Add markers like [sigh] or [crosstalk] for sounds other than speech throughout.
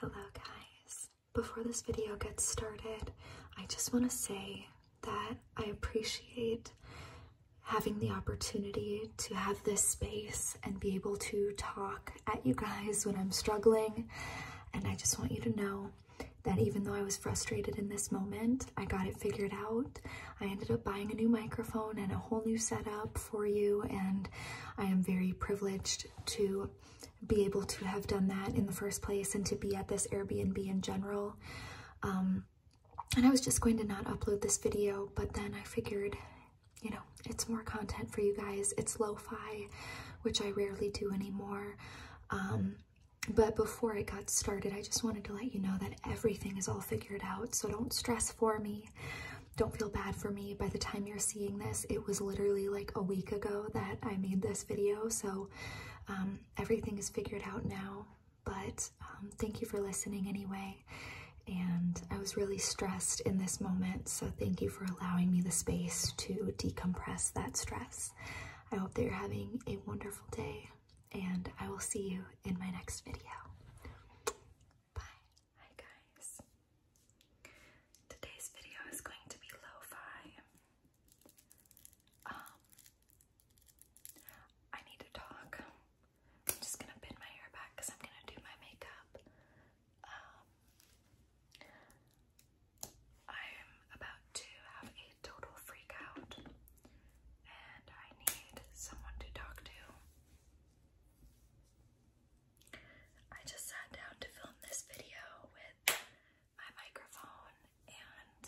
Hello guys. Before this video gets started, I just want to say that I appreciate having the opportunity to have this space and be able to talk at you guys when I'm struggling. And I just want you to know that even though I was frustrated in this moment, I got it figured out. I ended up buying a new microphone and a whole new setup for you, and I am very privileged to be able to have done that in the first place and to be at this Airbnb in general. Um, and I was just going to not upload this video, but then I figured, you know, it's more content for you guys. It's lo-fi, which I rarely do anymore. Um, but before I got started, I just wanted to let you know that everything is all figured out, so don't stress for me don't feel bad for me. By the time you're seeing this, it was literally like a week ago that I made this video, so um, everything is figured out now. But um, thank you for listening anyway. And I was really stressed in this moment, so thank you for allowing me the space to decompress that stress. I hope that you're having a wonderful day, and I will see you in my next video. Hi guys. Today's video is going to be lo Um I need to talk. I'm just gonna pin my hair back because I'm gonna do my makeup. Um I'm about to have a total freak out and I need someone to talk to. I just sat down to film this video with my microphone and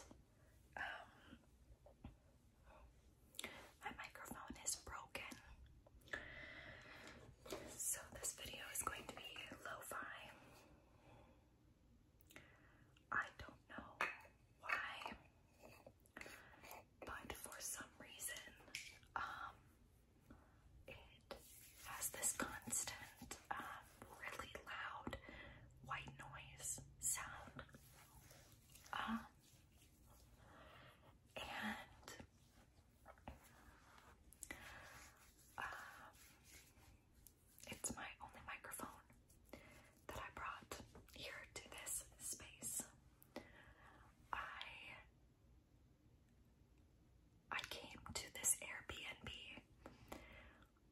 um my microphone is broken. So this video is going to be lo-fi. I don't know why, but for some reason, um, it has this constant, um, really loud white noise sound. Um, and um, it's my only microphone that I brought here to this space. I I came to this Airbnb.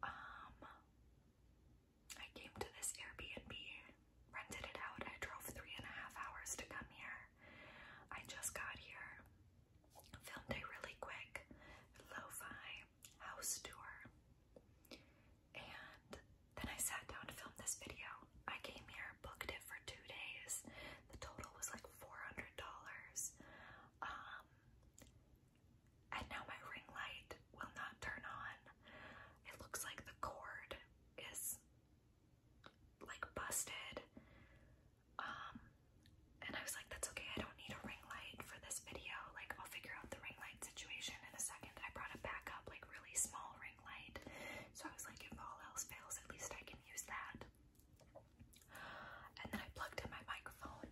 Um, I came to this Airbnb, rented it out. I drove three and a half hours to come here. I just got here, filmed a really quick lo-fi house tour, and then I sat down to film this video. I came here, booked it two days. The total was like $400. Um, and now my ring light will not turn on. It looks like the cord is like busted. Um, and I was like, that's okay, I don't need a ring light for this video. Like, I'll figure out the ring light situation in a second. I brought a backup, like, really small ring so I was like, if all else fails, at least I can use that. And then I plugged in my microphone.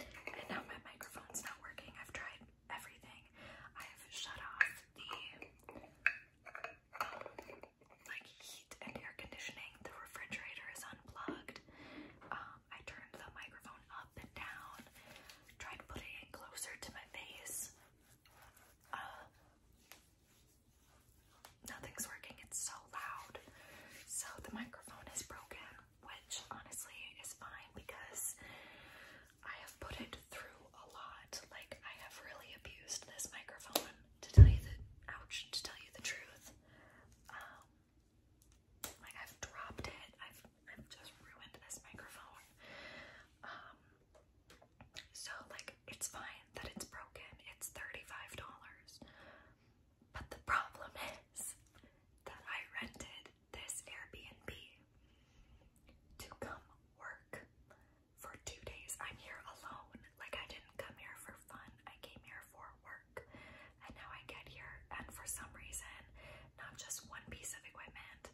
And now my microphone's not working. I've tried everything. I've shut off the like heat and air conditioning. The refrigerator is unplugged. Um, I turned the microphone up and down. Tried putting it closer to my face. Uh, nothing's working. It's so loud. So the microphone is broken, which honestly is fine because I have put it through a lot. Like I have really abused this microphone to tell you the ouch, to tell you the truth. Um, like I've dropped it. I've just ruined this microphone. Um, so, like, it's fine that it's broken, it's $35. But the problem [laughs] is that I rented this Airbnb to come work for two days. I'm here alone. Like, I didn't come here for fun, I came here for work. And now I get here, and for some reason, not just one piece of equipment,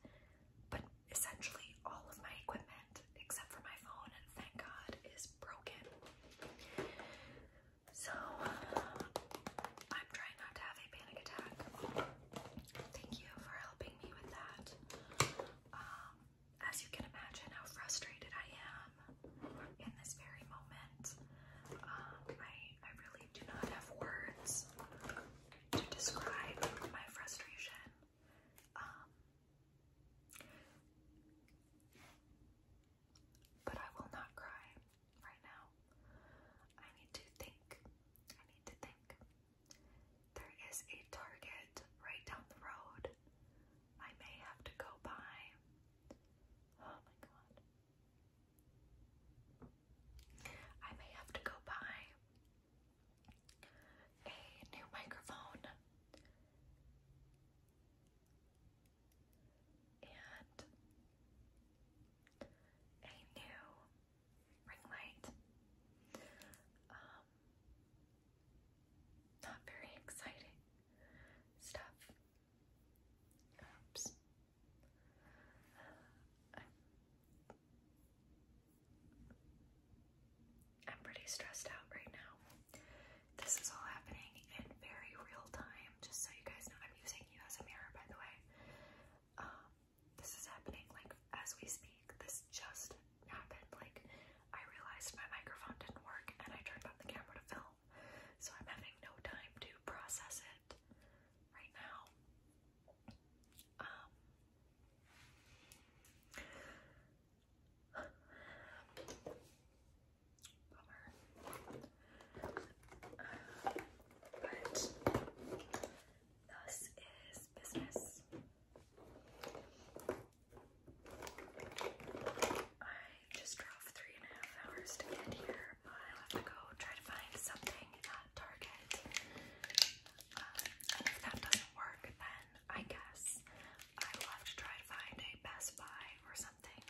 but essentially, all of my equipment, except for my phone, and thank God, is broken. So I'm trying not to have a panic attack. Thank you for helping me with that. Um, as you can imagine, how frustrated I am in this very moment. Um, I I really do not have words to describe my frustration. Um, but I will not cry right now. I need to think. I need to think. There is a Target right down the road. I may have to go by. Oh my god. I may have to go by a new microphone, and a new ring light. Um, not very exciting stuff. Oops. I'm pretty stressed out right now. This is all happening in very real time, just so you guys know. I'm using you as a mirror, by the way. Um, this is happening like as we speak. This just happened. Like, I realized my microphone didn't work and I turned on the camera to film. So I'm having no time to process it right now. Um, Bummer. Um, but thus is business. I just drove three and a half hours to get here. i have to go try to find something uh, Target. Uh, if that doesn't work, then I guess I have to try to find a Best Buy or something.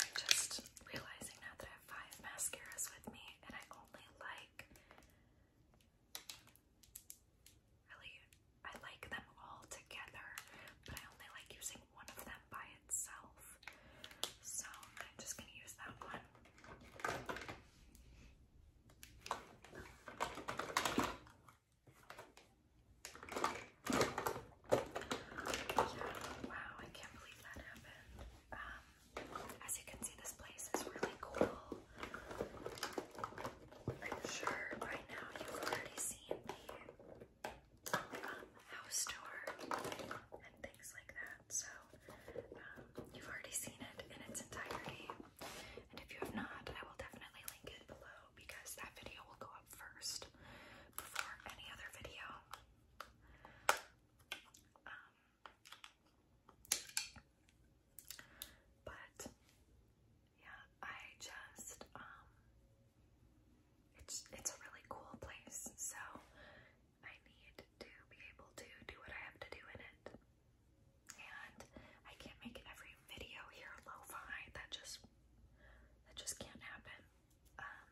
I'm just realizing now that I have five mascaras with me, and I only like really I like them all together, but I only like using one of them by so I'm just gonna use that one. wow, I can't believe that happened. Um, as you can see, this place is really cool. I'm sure by now you've already seen the um, house tour and things like that. So um, you've already seen it in its entirety. And if you have not, I will definitely link it below because that video will go up first before any other video. Um, but yeah, I just um, it's it's a really cool place. So I need to be able to do what I have to do in it. And I can't make every video here lo-fi. That just that just can't happen. Um,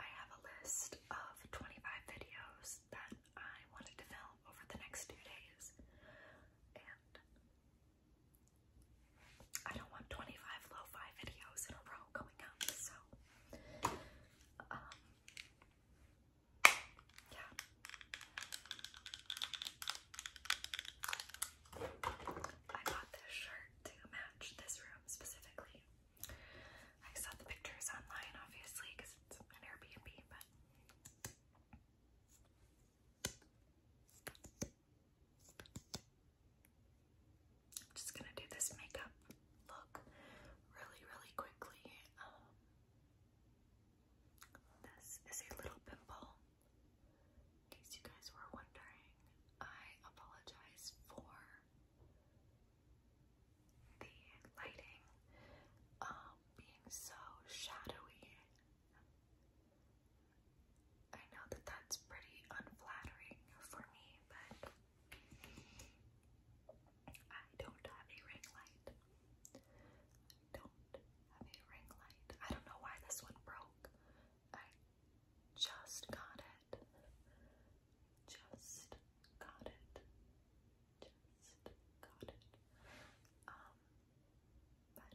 I have a list of 25 videos that I wanted to film over the next two days. And I don't want 25 lo-fi videos in a row going up, so um, yeah. I bought this shirt to match this room specifically. I saw the pictures online, obviously, because it's an Airbnb, but. I'm just gonna do this makeup look really, really quickly. Um, this is a little pimple. In case you guys were wondering, I apologize for the lighting um, being so shadowy. I know that that's pretty unflattering for me, but I don't have a ring light. don't have a ring light. I don't know why this one broke. I just got it. Just got it. Just got it. Um, but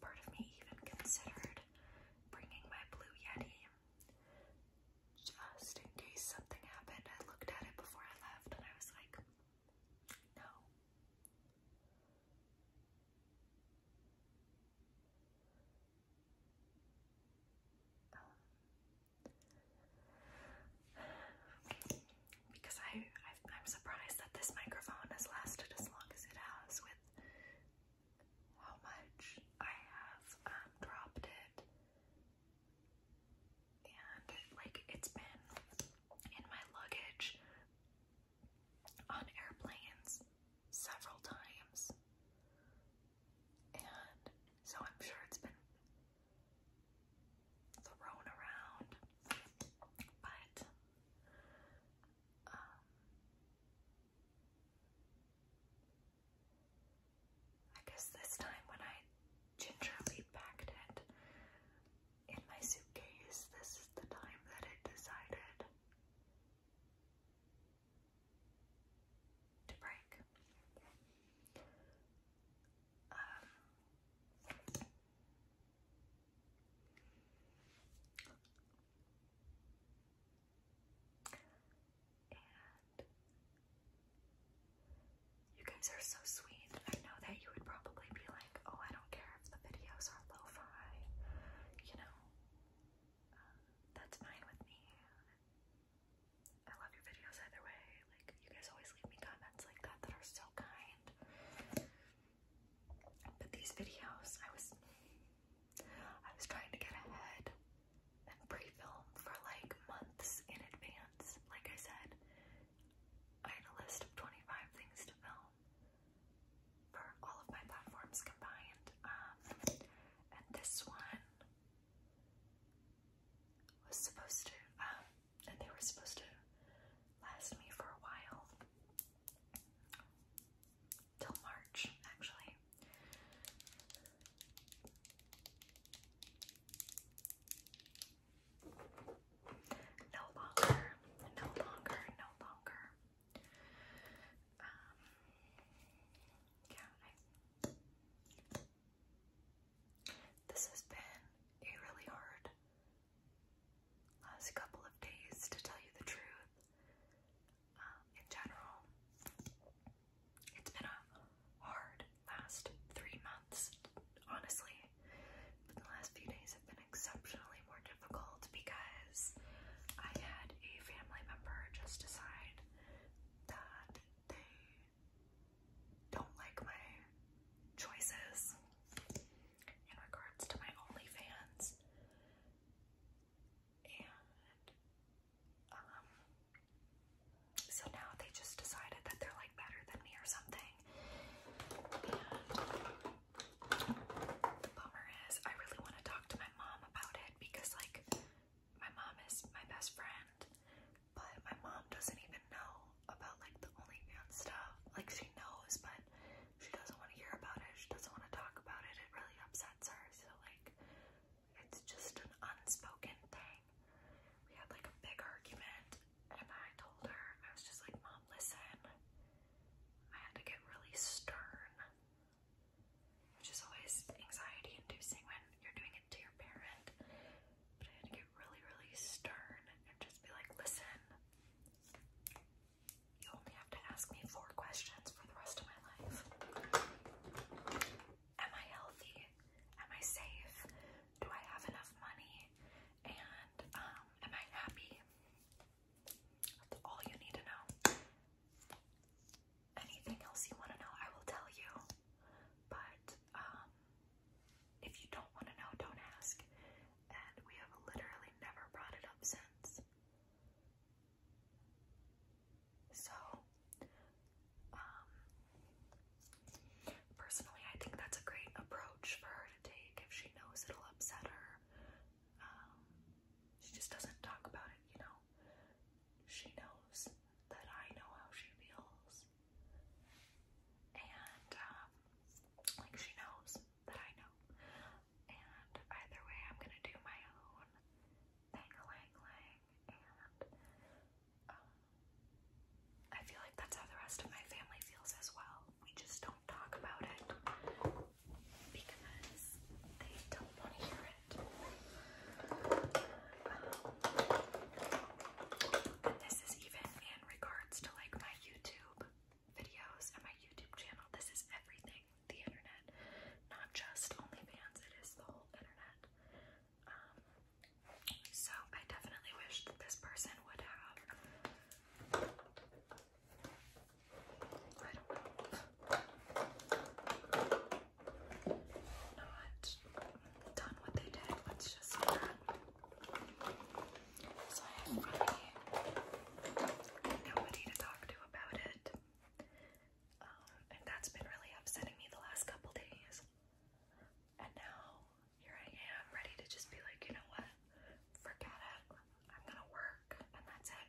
Part of me even considered bringing my Blue Yeti just in case something happened. I looked at it before I left and I was like, no. Um, [sighs] because I, I am surprised that this microphone has lasted as long as it has with how much I have um, dropped it. And like it's been in my luggage on airplanes several times. And so I'm sure it's been thrown around, but um, I guess this time when I gingerly packed it in my suitcase, this is the time that it decided to break you guys are so sweet. I know that you would probably be like, oh, I don't care if the videos are lo-fi, you know. Um, that's fine with me. I love your videos either way. Like you guys always leave me comments like that that are so kind. But these videos, I was I was trying to get ahead and pre-film for like months in advance. Like I said, I had a list of 25 things to film for all of my platforms combined. Um, and this one was supposed to um, and they were supposed to last me for a while till March, actually. No longer, no longer, no longer. Um, yeah, this has been a really hard last couple of days, to tell you the truth. Um, in general, it's been a hard last three months, honestly. But the last few days have been exceptionally more difficult because I had a family member just decide that they don't like my choices in regards to my OnlyFans. And um so now they just decided that they're like better than me or something. And the bummer is I really want to talk to my mom about it because like my mom is my best friend but my mom doesn't even know about like the OnlyFans stuff. Like she knows, but she doesn't want to hear about it. She doesn't want to talk about it. It really upsets her. So like, it's just an unspoken thing. We had like a big argument, and I told her I was just like, Mom, listen. I had to get really stern, which is always anxiety-inducing when you're doing it to your parent. But I had to get really, really stern and just be like, listen, you only have to ask me four questions for the rest of my life. Am I healthy? Am I safe? Do I have enough money? And um, am I happy? That's all you need to know. Anything else you want to know, I will tell you. But um, if you don't want to know, don't ask. And we have literally never brought it up since. So, um, personally, I think that's a great approach for her to take if she knows it'll upset her. Um, she just doesn't talk about it, you know? She knows that I know how she feels and um, like she knows that I know. And either way, I'm gonna do my own thing, lang, lang, and um, I feel like that's how the rest of my family feels as well. We just don't talk about it because they don't want to hear it. Um, and this is even regards to like my YouTube videos and my YouTube channel. This is everything, the internet, not just OnlyFans, it is the whole internet. Um, so I definitely wish that this person would have, I don't know, not done what they did. Let's just do that. I have nobody to talk to about it. Um, and that's been really upsetting me the last couple days. And now here I am, ready to just be like, you know what? Forget it. I'm gonna work, and that's it.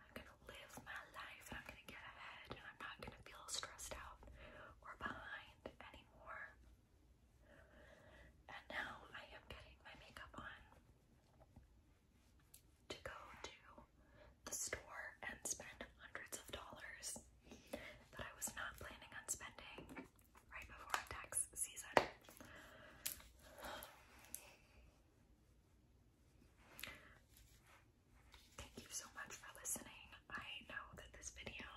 I'm gonna live my life, and I'm gonna get ahead, and I'm not gonna feel stressed out or behind anymore. And now I am getting my makeup on to go to the store and spend hundreds of dollars that I was not planning on spending right before tax season. Thank you so much for listening. I know that this video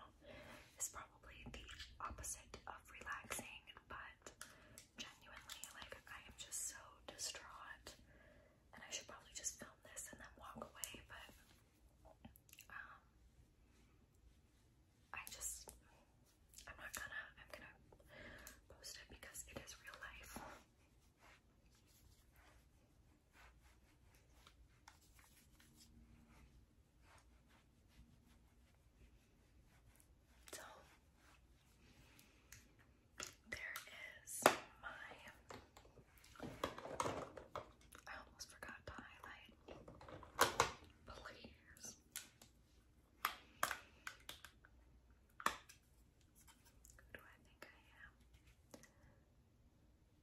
is probably the opposite of relaxing, but genuinely, like, I am just so distraught. And I should probably just film this and then walk away, but um, I just, I'm not gonna, I'm gonna post it because it is real life. So there is my I almost forgot highlight players. Who do I think I am? Um,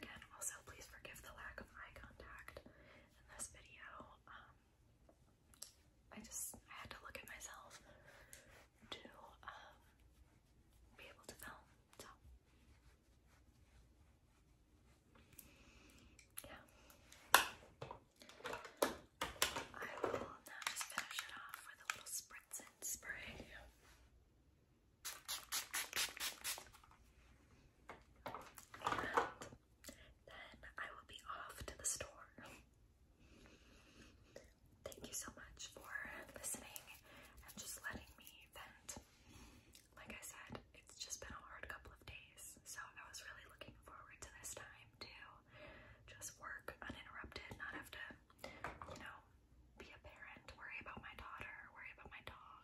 again, also please forgive the lack of eye contact in this video. Um, I just I had to look at myself to um, be able to film. Yeah. I will now finish it off with a little spritz and spray. And then I will be off to the store. Thank you so much for listening and just letting me vent like I said, it's just been a hard couple of days, so I was really looking forward to this time to just work uninterrupted, not have to, you know, be a parent, worry about my daughter, worry about my dog,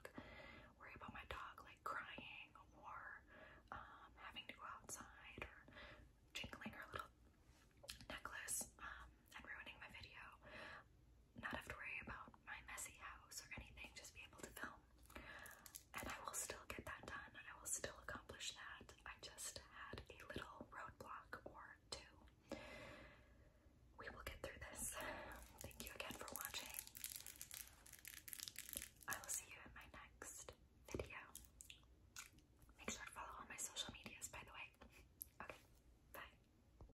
worry about my dog like crying or um, having to go outside or jingling her little necklace um, and ruining my video. Not have to worry about my messy house or anything, just be able to film. And I will still get that done. I will still accomplish that. I just had a little roadblock or two. We will get through this. Thank you again for watching. I will see you in my next video. Make sure to follow all my social medias, by the way. Okay, bye.